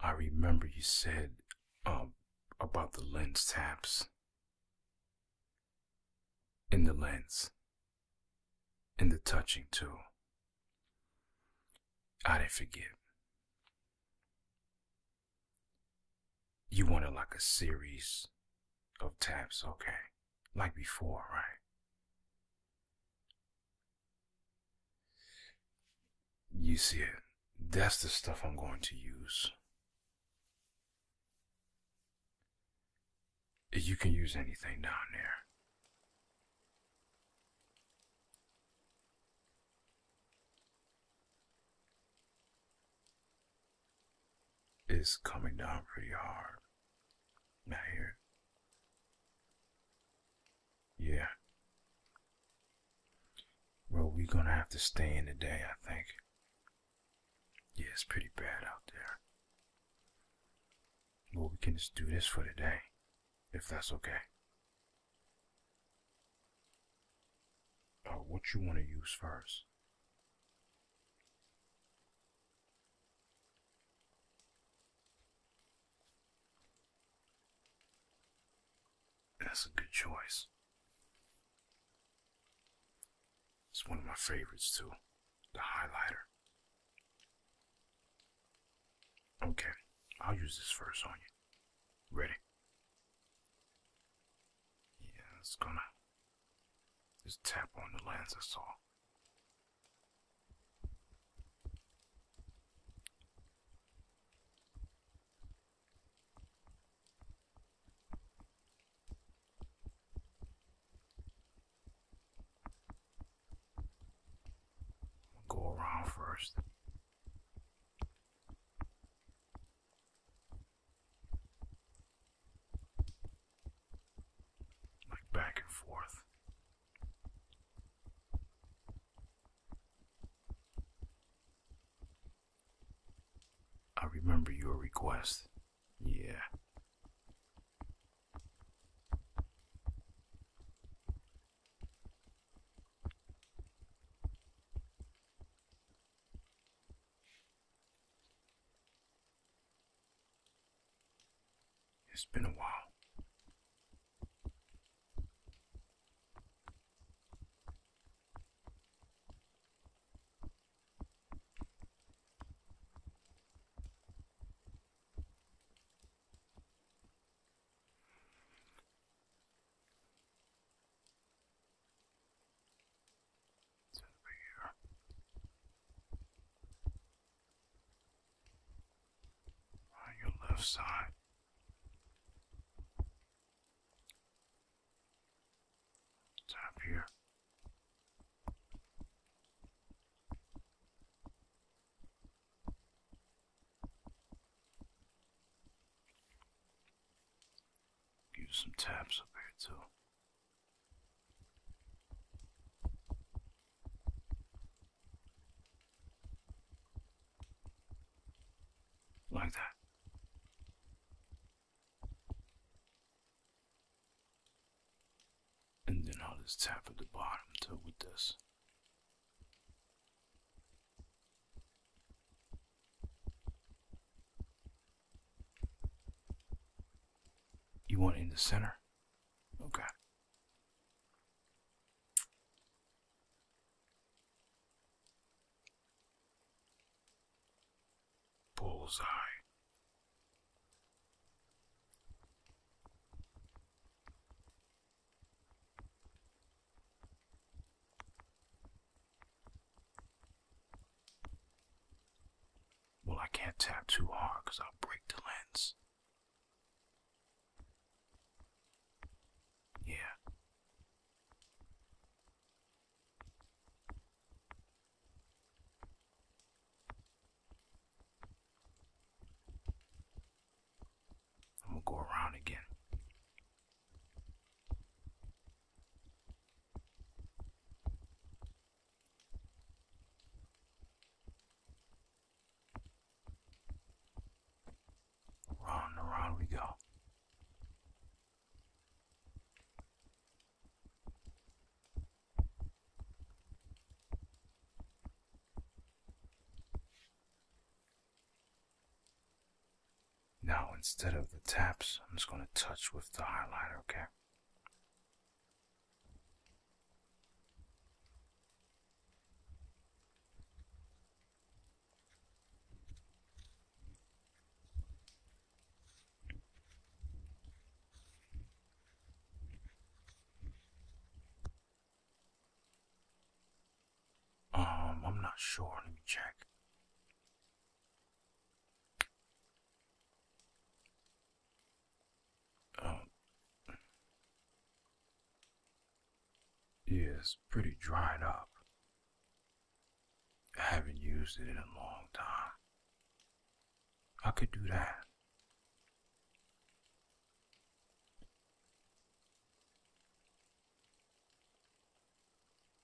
I remember you said um, about the lens taps in the lens in the touching too. I didn't forget. You wanted like a series of taps, okay? Like before, right? You see it? That's the stuff I'm going to use. You can use anything down there. It's coming down pretty hard. Now here, yeah. Well, we're gonna have to stay in today, I think. Yeah, it's pretty bad out there. Well, we can just do this for today, if that's okay. Uh, what you want to use first? That's a good choice. It's one of my favorites too, the highlighter. Okay, I'll use this first on you. Ready? Yeah, it's gonna just tap on the lens, that's all. Go around first. Like back and forth. I remember your request. Yeah. It's been a while. It's over here on your left side. Tap here. Give some taps up here too. Like that. And then I'll just tap at the bottom until with this. You want in the center? Okay. Bullseye. Well, I can't tap too hard I'll break the lens. Yeah. And we'll go around again. Round and round we go. Now, instead of the taps, I'm just going to touch with the highlighter, okay? Um, I'm not sure. Let me check. Oh. Yeah, it's pretty dried up. I haven't used it in a long time. I could do that.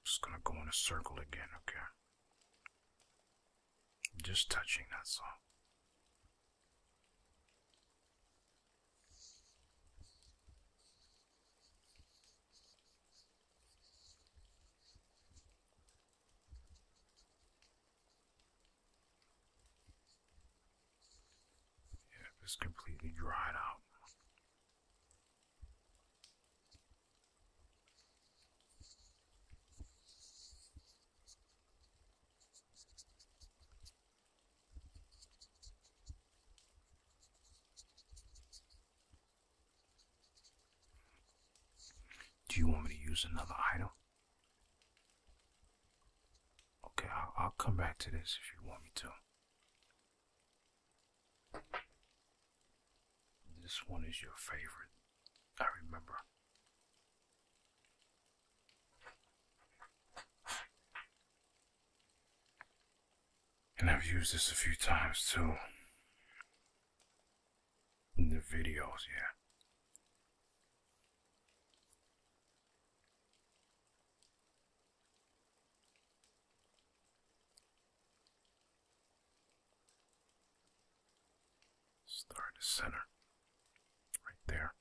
Just gonna go in a circle again, okay? Just touching, that all. Yep, it's completely dried out. Do you want me to use another item? Okay, I'll, come back to this if you want me to. This one is your favorite. I remember. And I've used this a few times too. In the videos, yeah. Star the center. Right there.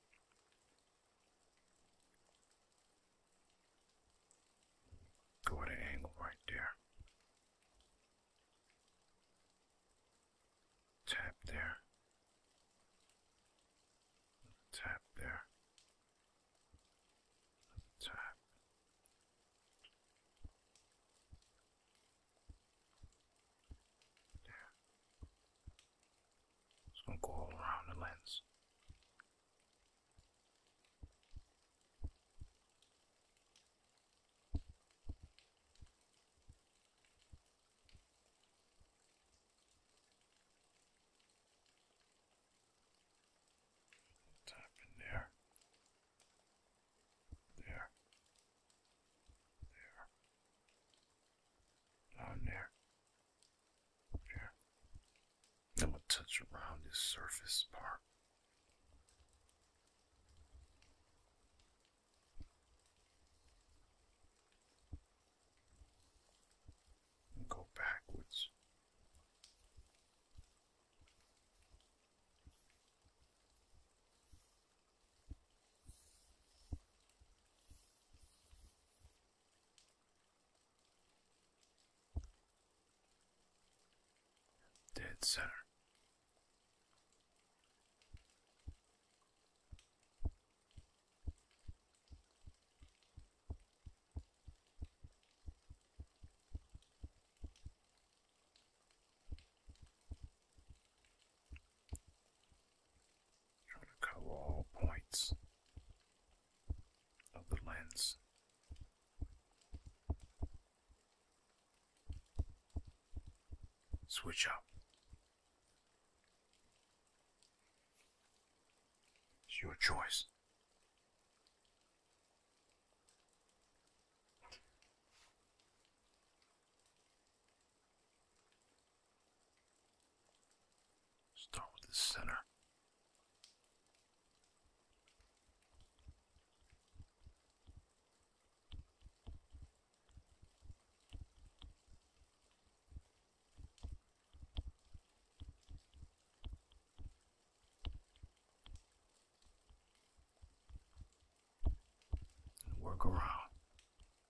Go at an angle right there. Tap there. Tap there. Tap. There. It's gonna go all around the lens. Tap in there. There. There. Down there. here. I'm going touch around this surface part. And go backwards. Dead center. Trying to cover all points of the lens. Switch up. It's your choice. Start with the center. work around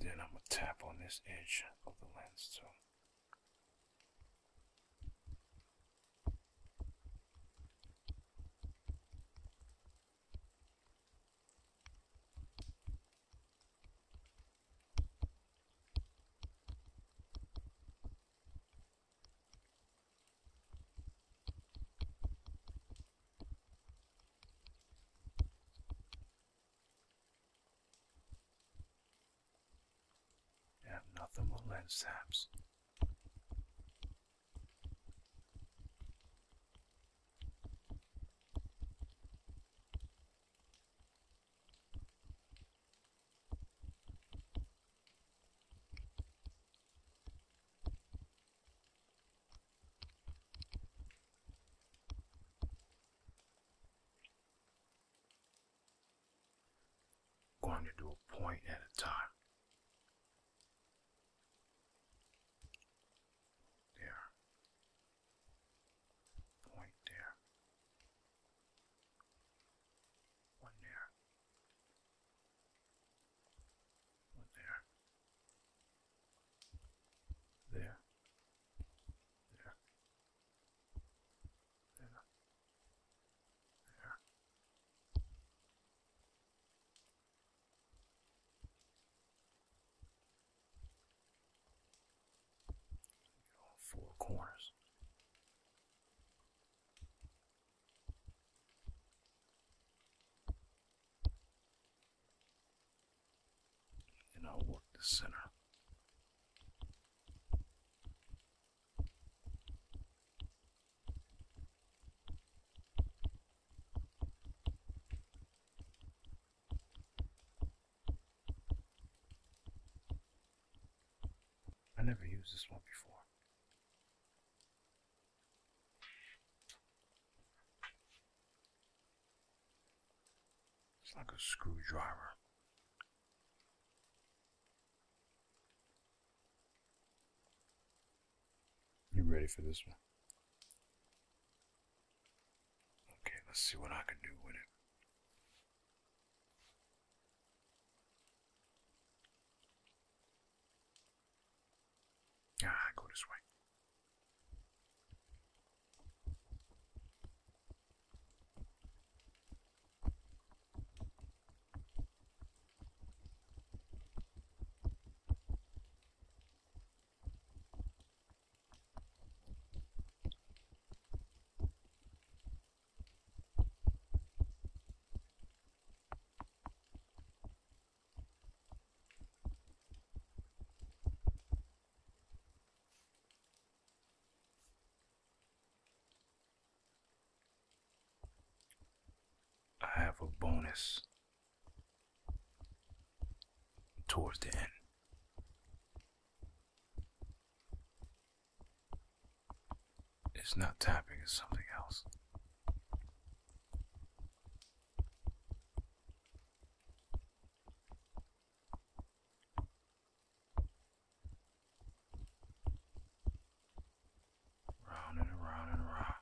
then I'm going to tap on this edge of the lens too. And nothing will lend saps. Going to do a point at a time. There. Point there. One there. One there. There. There. There. There. four corners. And I'll work the center. I never used this one before. It's like a screwdriver. You ready for this one? Okay, let's see what I can do with it. Ah, go this way. I have a bonus towards the end. It's not tapping, it's something else. Round and around and around.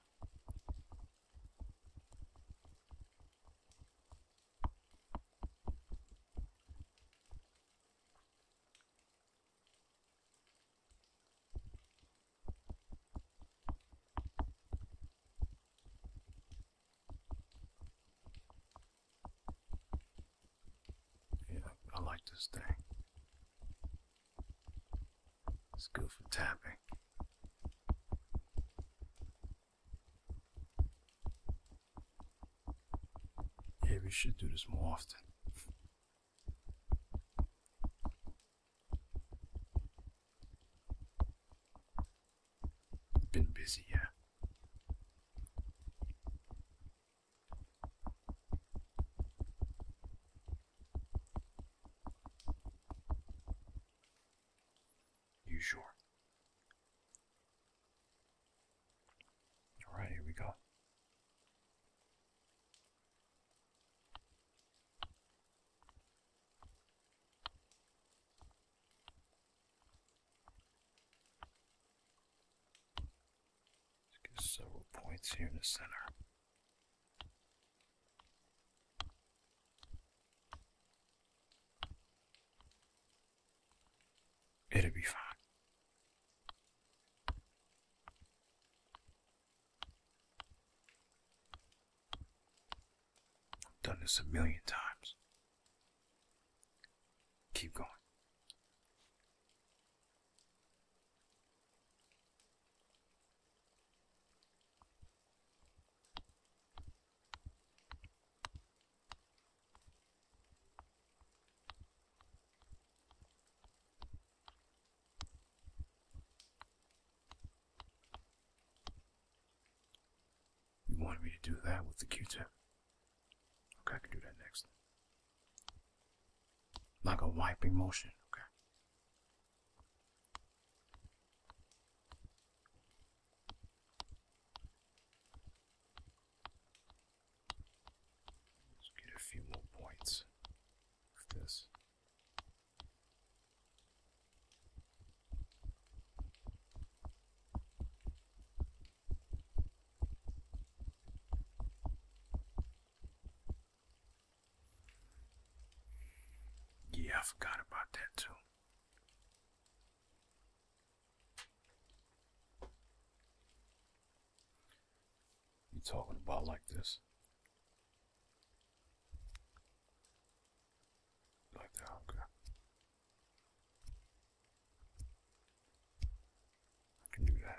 Yeah, I like this thing. It's good for tapping. Yeah, we should do this more often. Been busy, yeah. You sure? All right, here we go let get several points here in the center. It'll be fine. I've done this a million times. Keep going. You wanted me to do that with the Q-tip. Okay, I can do that next. Like a wiping motion. Okay. Let's get a few more points this. Yeah, I forgot about that too. You talking about like this? Like that, okay. I can do that.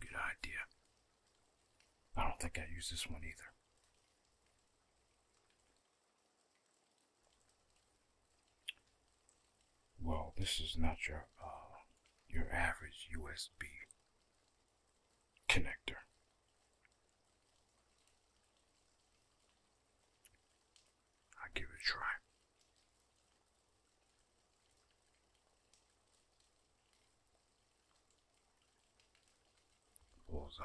Good idea. I don't think I use this one either. Well, this is not your uh, your average USB connector. i give it a try. Bullseye.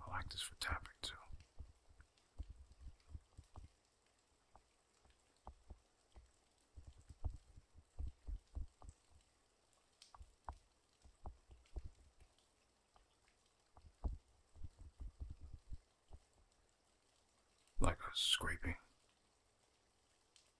I like this for tapping too. Like a scraping.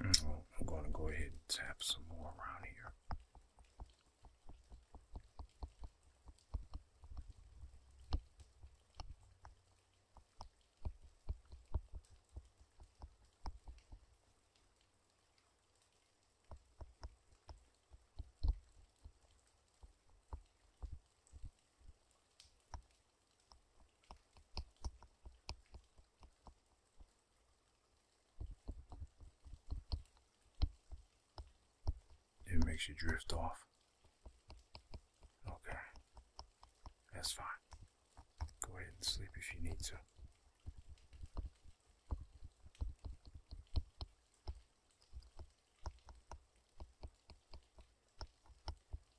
Mm, I'm going to go ahead and tap some more around here. It makes you drift off. Okay. That's fine. Go ahead and sleep if you need to.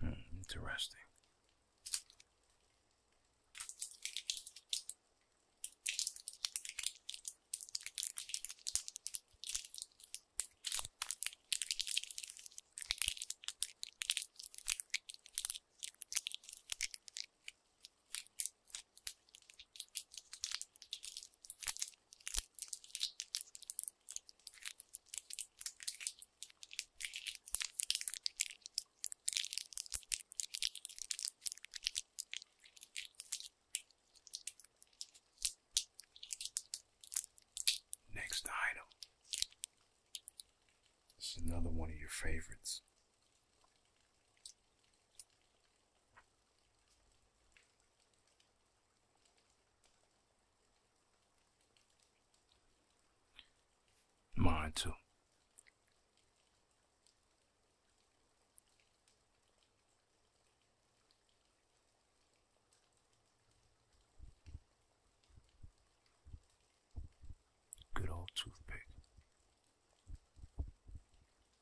Hmm, interesting. Next item. This is another one of your favorites. Mine too. Good old toothpick.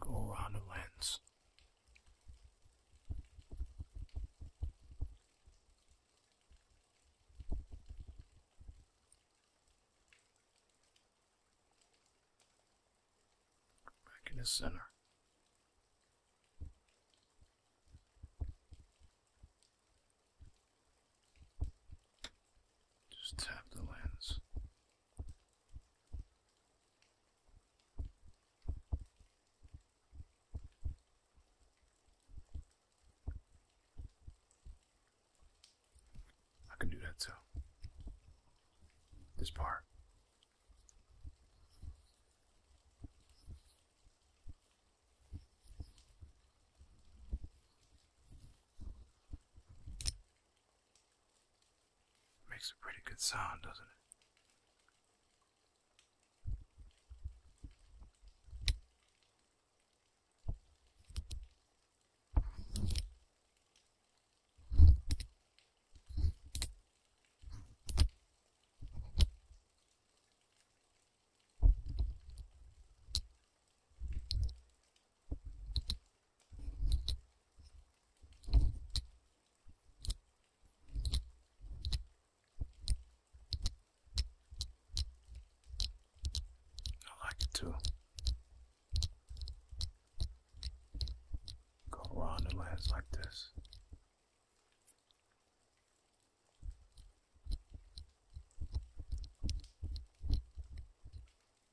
Go around the lens. Back in the center. Just tap the lens. I can do that too. This part. Makes a pretty good sound, doesn't it? I like it too. Go around the lens like this.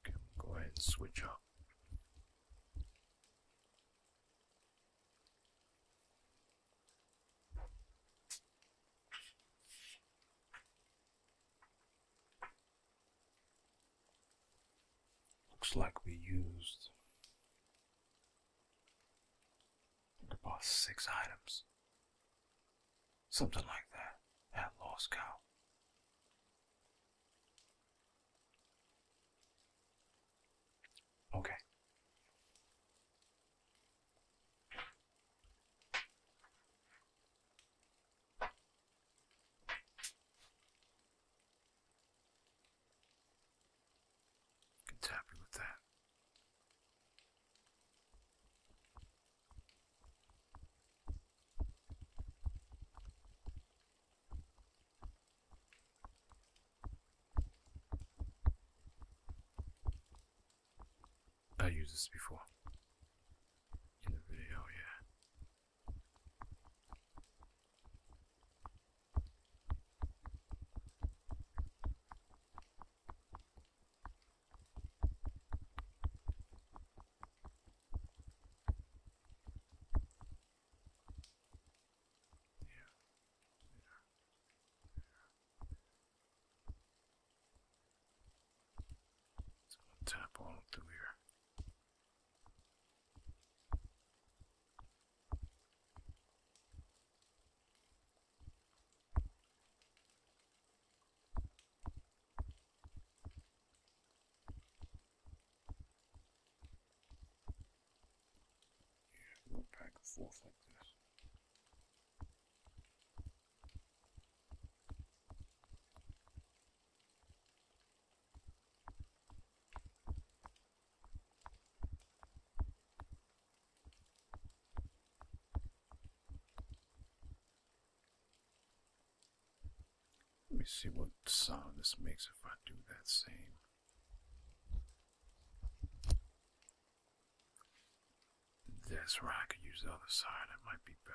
Okay, we'll go ahead and switch up. Looks like we used about six items. Something like that at Lost Cow. Okay. It's happy with that. I used this before in the video, yeah. Yeah. It's going to tap on through here. Let me see what sound this makes if I do that same. This where I could use the other side, it might be better.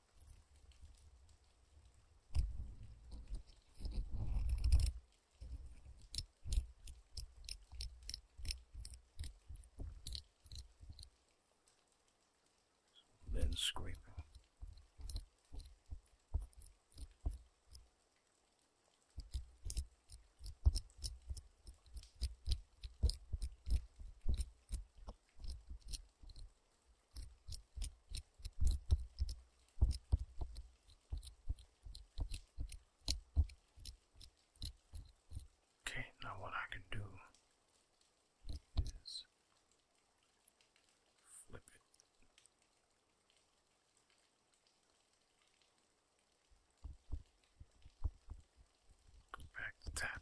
Then scraping. Okay, now what I can do is flip it. Go back to tapping.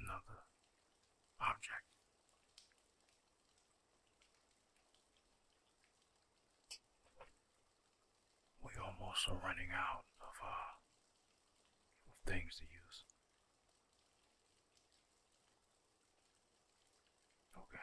Another object. We almost are running out of, uh, of things to use. Okay.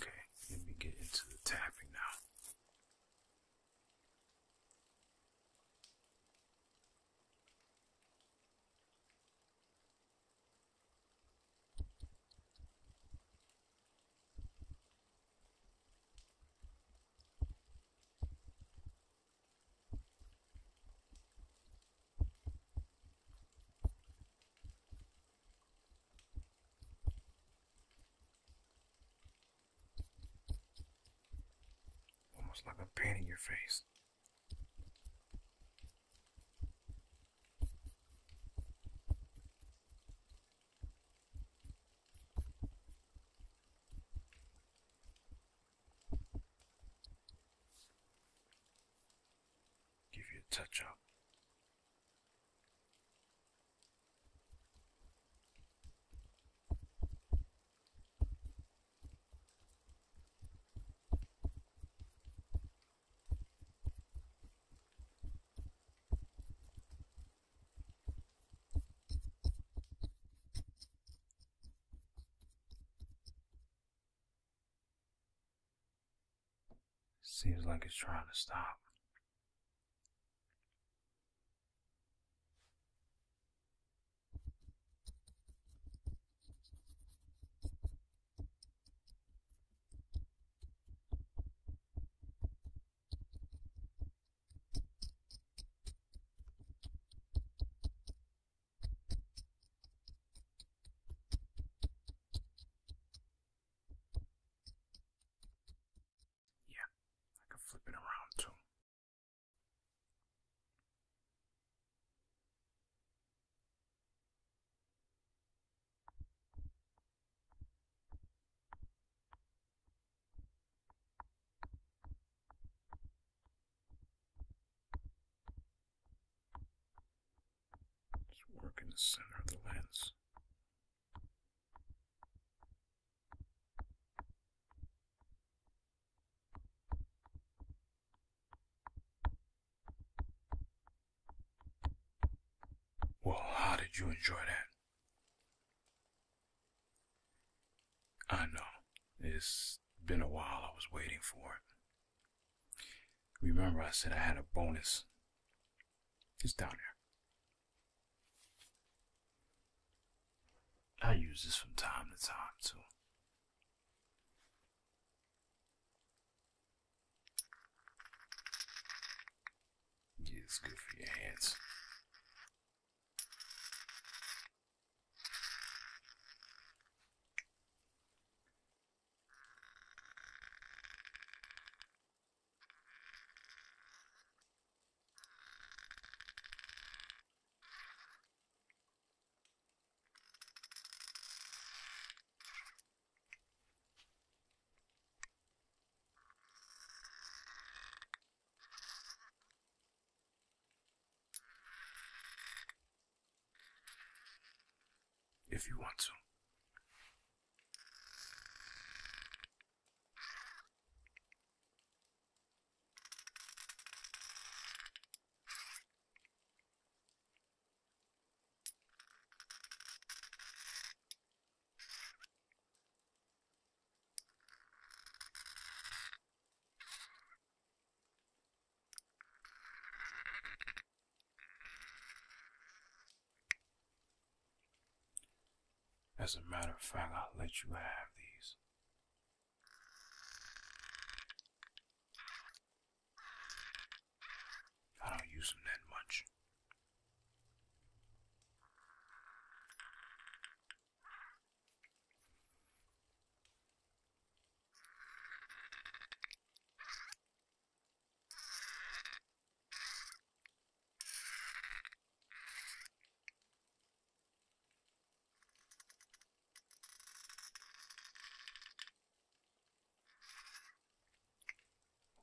Okay, let me get into the tapping now. Almost like a pain in your face. Give you a touch up. Seems like it's trying to stop. Yeah, I can flip it around too. Just work in the center of the lens. Well, how did you enjoy that? I know. It's been a while. I was waiting for it. Remember, I said I had a bonus. It's down there. I use this from time to time, too. Yeah, it's good for your hands. If you want to. As a matter of fact, I'll let you have these. I don't use them that much.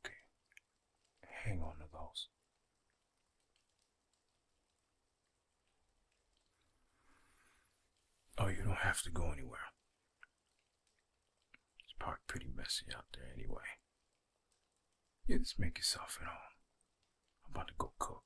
Okay, hang on to those. Oh, you don't have to go anywhere. It's probably pretty messy out there anyway. You just make yourself at home. I'm about to go cook.